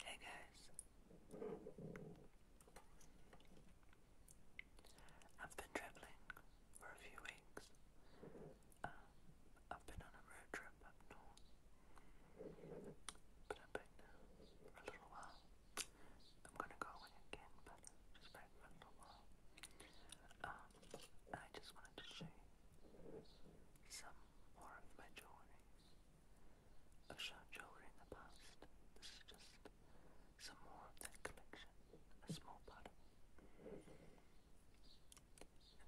Hey guys, I've been traveling for a few weeks. Um, I've been on a road trip up north, but I've been for a little while. I'm gonna go again, but just for a little while. Um, I just wanted to show you some more of my jewelry. I've jewelry in the past. This is just some more of that collection. A small part of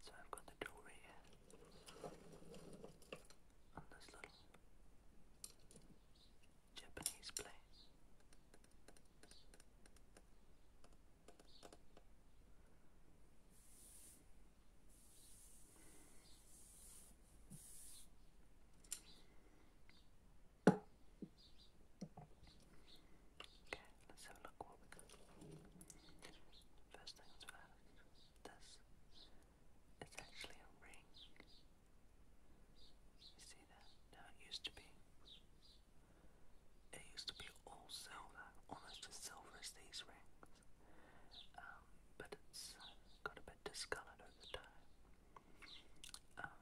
so I've got the jewelry On this little Japanese plate. Okay, let's have a look what we got. this is actually a ring. You see that? Now used to be. It used to be all silver, almost as silver as these rings. Um, but it's uh, got a bit discolored over time. Um,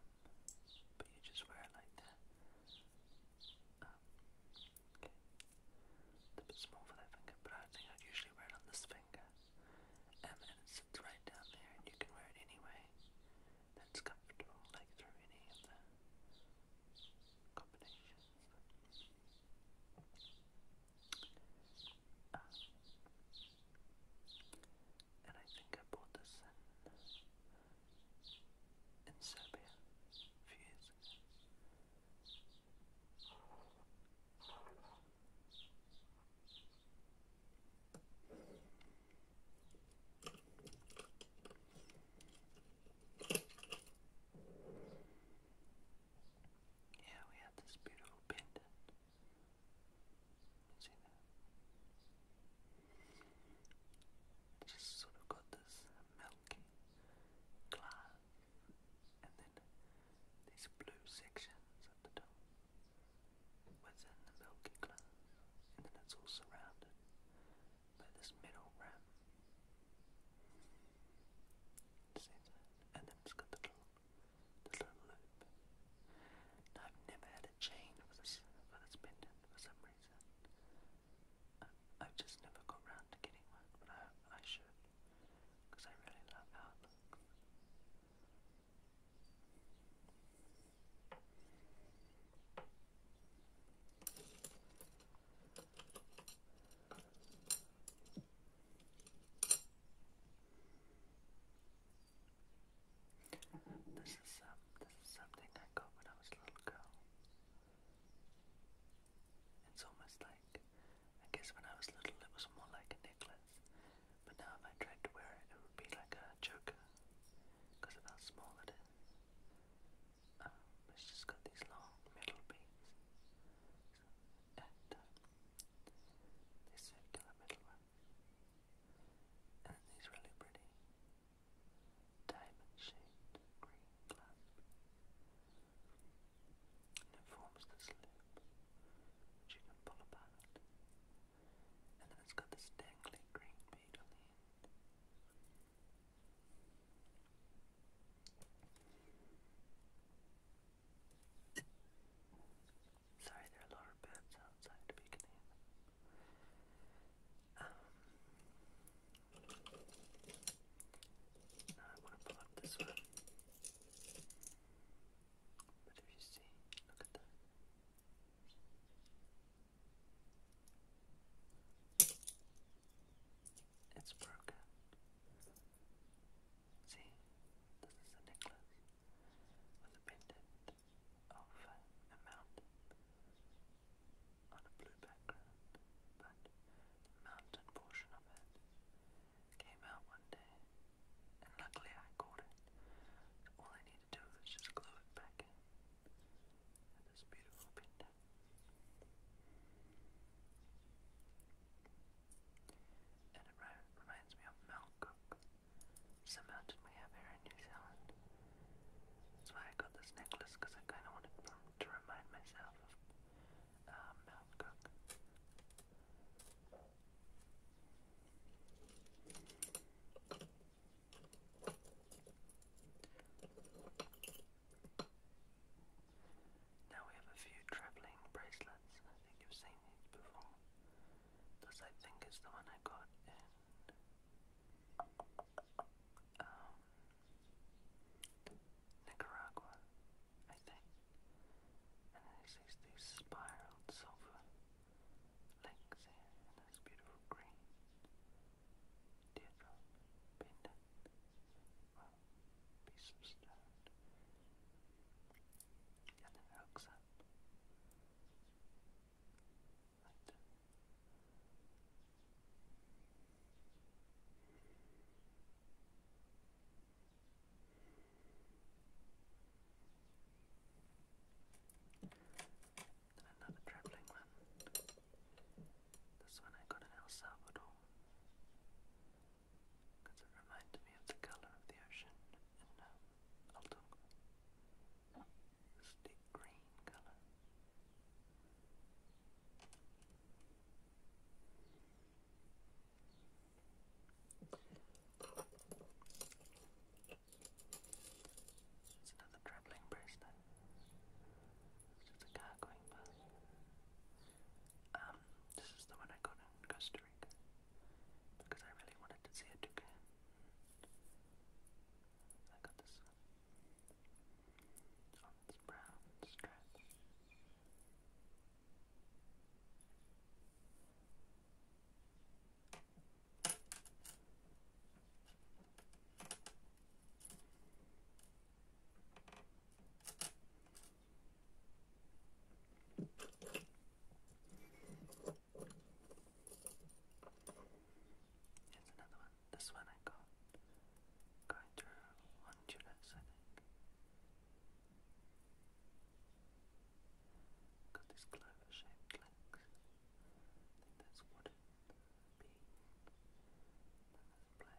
but you just wear it like that. Um, okay. a bit small for that finger, but I think I'd usually wear it on this finger. Um, and it sits right down there, and you can wear it anyway. That's comfortable, like through any of the combinations. Um, and I think I bought this in, Serbia years yeah, we have this beautiful pendant. You Just sort of got this milky glass and then these blue sections at the top within the milky glass and then it's all surrounded by this metal rim. Same size. And then it's got the little, the little loop. I've never had a chain with this, with this pendant for some reason. I, have just never got round to getting one, but I, should. Because I really love it um, this is something I got when I was a little girl. It's almost like I guess when I was little it was more like a necklace, but now if I tried to wear it, it would be like a choker because of how small it is. Um, it's just got these long metal beads and uh, this circular middle one. And then these really pretty diamond shaped green clasp. And it forms this loop which you can pull apart. And then it's got this dangly green bead on the end. Sorry, there are a lot of birds outside if you Um, now I want to pull up this one. But if you see, look at that. It's broken. See, this is a necklace with a pendant of uh, a mountain on a blue background, but mountain portion of it came out one day, and luckily I caught it. all I need to do is just glue it back in, this beautiful pendant. And it reminds me of Malcook. It's a mountain we have here in New Zealand. That's why I got this necklace, because I kind of wanted to remind myself of uh, Malcook. Now we have a few travelling bracelets. I think you've seen these before. This I think is the one I got in um, Nicaragua, I think. And this is these spiraled silver links here, this beautiful green teardrop pendant well, piece of stone. And it hooks up. Right. And another travelling one. This one I got in El Salvador because it reminds me of the color of the ocean in uh, Altocqua. This deep green color. It's another traveling bracelet. It's just a car going um, this is the one I got in Costa Rica because I really wanted to see a toucan. I got this on oh, this brown strip. Here's another one. This one I got going through Honduras, I think. Got these clover shaped legs. I think that's wooden bean. Then black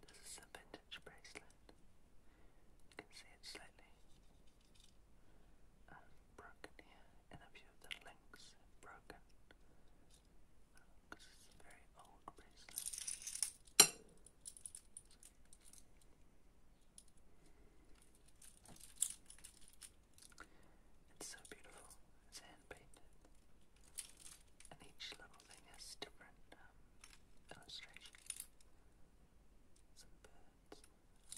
This is a vintage bracelet. You can see it's slightly uh, broken here, and a few of the links broken because it's so beautiful. It's hand painted, and each little thing has different um, illustration. Some birds,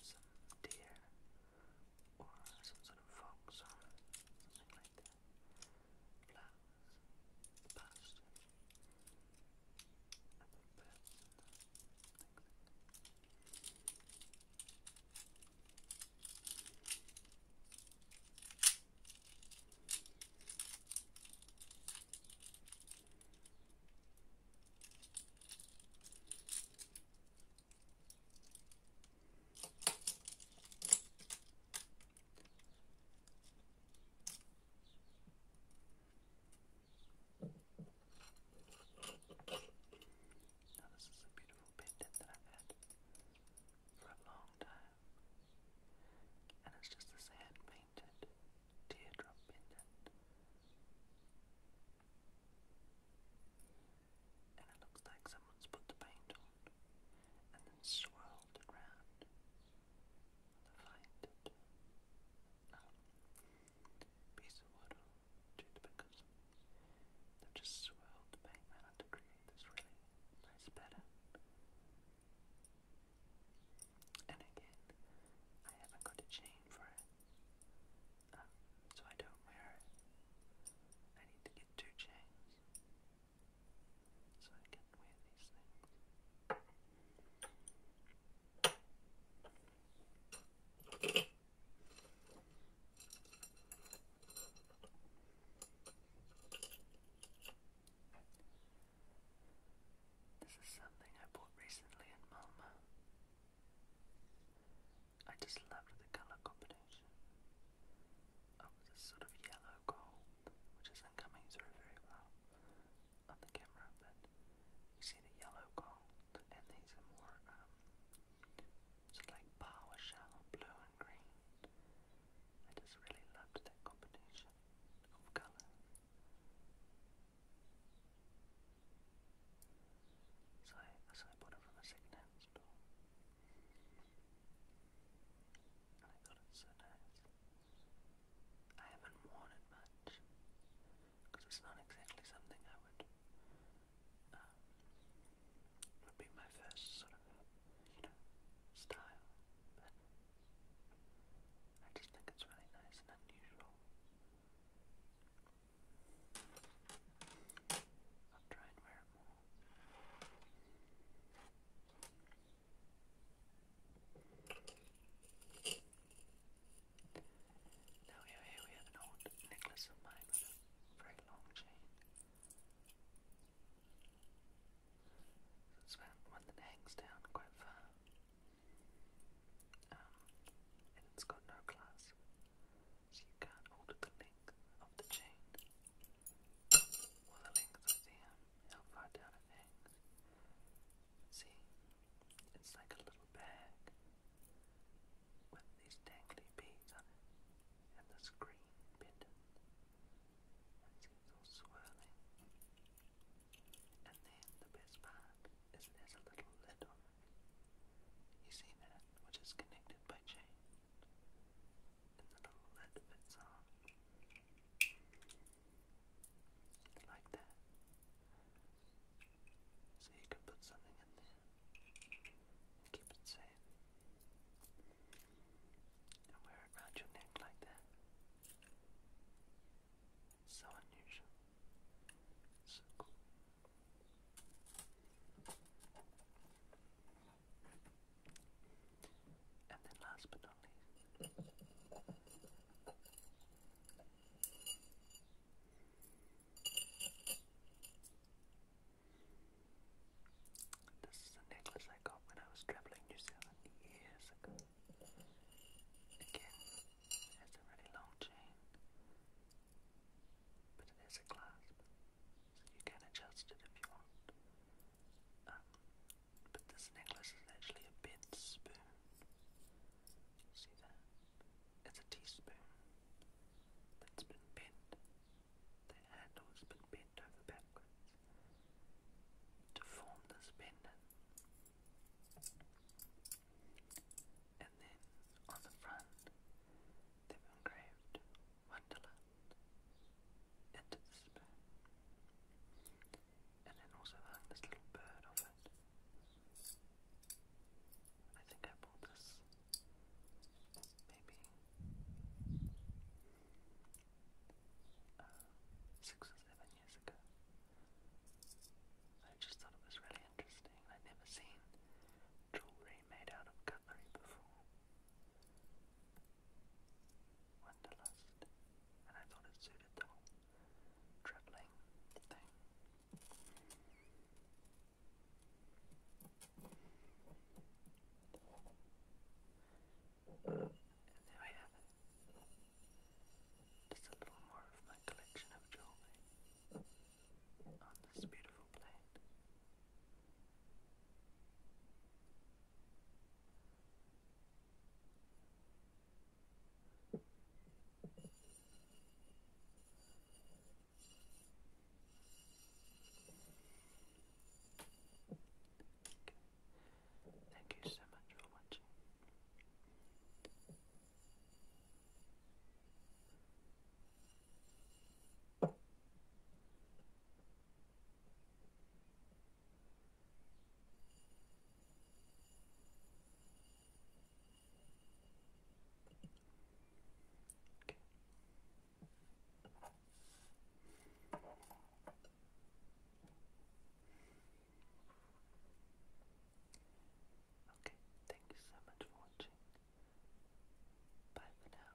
some deer, or some sort of fox, or something like that flowers, passion, and a person. Thanks. Now this is a beautiful pendant that I've had for a long time. And it's just this hand painted teardrop pendant. And it looks like someone's put the paint on and then swirled around with a ah, piece of wood or toothpickers. they just swirled the paint around to create this really nice pattern. And again, I haven't got a chain for it, um, so I don't wear it. I need to get two chains so I This is something I bought recently in Malmo. I just loved the colour combination of oh, this sort of yellow gold, which isn't coming through very well on the camera, but you see the yellow gold, and these are more um, sort of like PowerShell blue and green. I just really loved that combination of colour. So I, so I bought it from a second store. And I haven't worn it much because it's not exactly something I um, would. be my first sort of, you style. But I just think it's really nice and unusual. I'll try wear more. Now here, we have an old necklace of mine very long chain. It's one that hangs down quite far. Um, and it's got no clasp, so you can't alter the length of the chain. Will the length of the how far down it hangs? See, it's like a little bag with these dangly beads on it and this green pendant. it's all swirling. And then the best part is there's a little lid on it. You see that, which is connected by chain. And the little lid fits on. Like that. So you could put something in there and keep it safe. And wear it around your neck like that. so unusual. So cool. And then last but not least, this is a necklace I got when I was traveling New Zealand years ago. Again, it a really long chain, but it has a clasp, so you can adjust it if you want but this necklace is actually a bent spoon. See that? It's a teaspoon that's been bent. The handle has been bent over backwards to form this pendant. And then on the front, they've engraved Wonderland into the spoon. And then also hung this little bird off it. I think I bought this maybe uh, six or seven years ago. I just thought it was really interesting. I'd never seen jewelry made out of cutlery before. Wanderlust, and I thought it suited the whole traveling thing. And there we have it. Just a little more of my collection of jewelry on this beautiful plate. Thank you so much for watching. Okay. thank you so much for watching. Bye for now.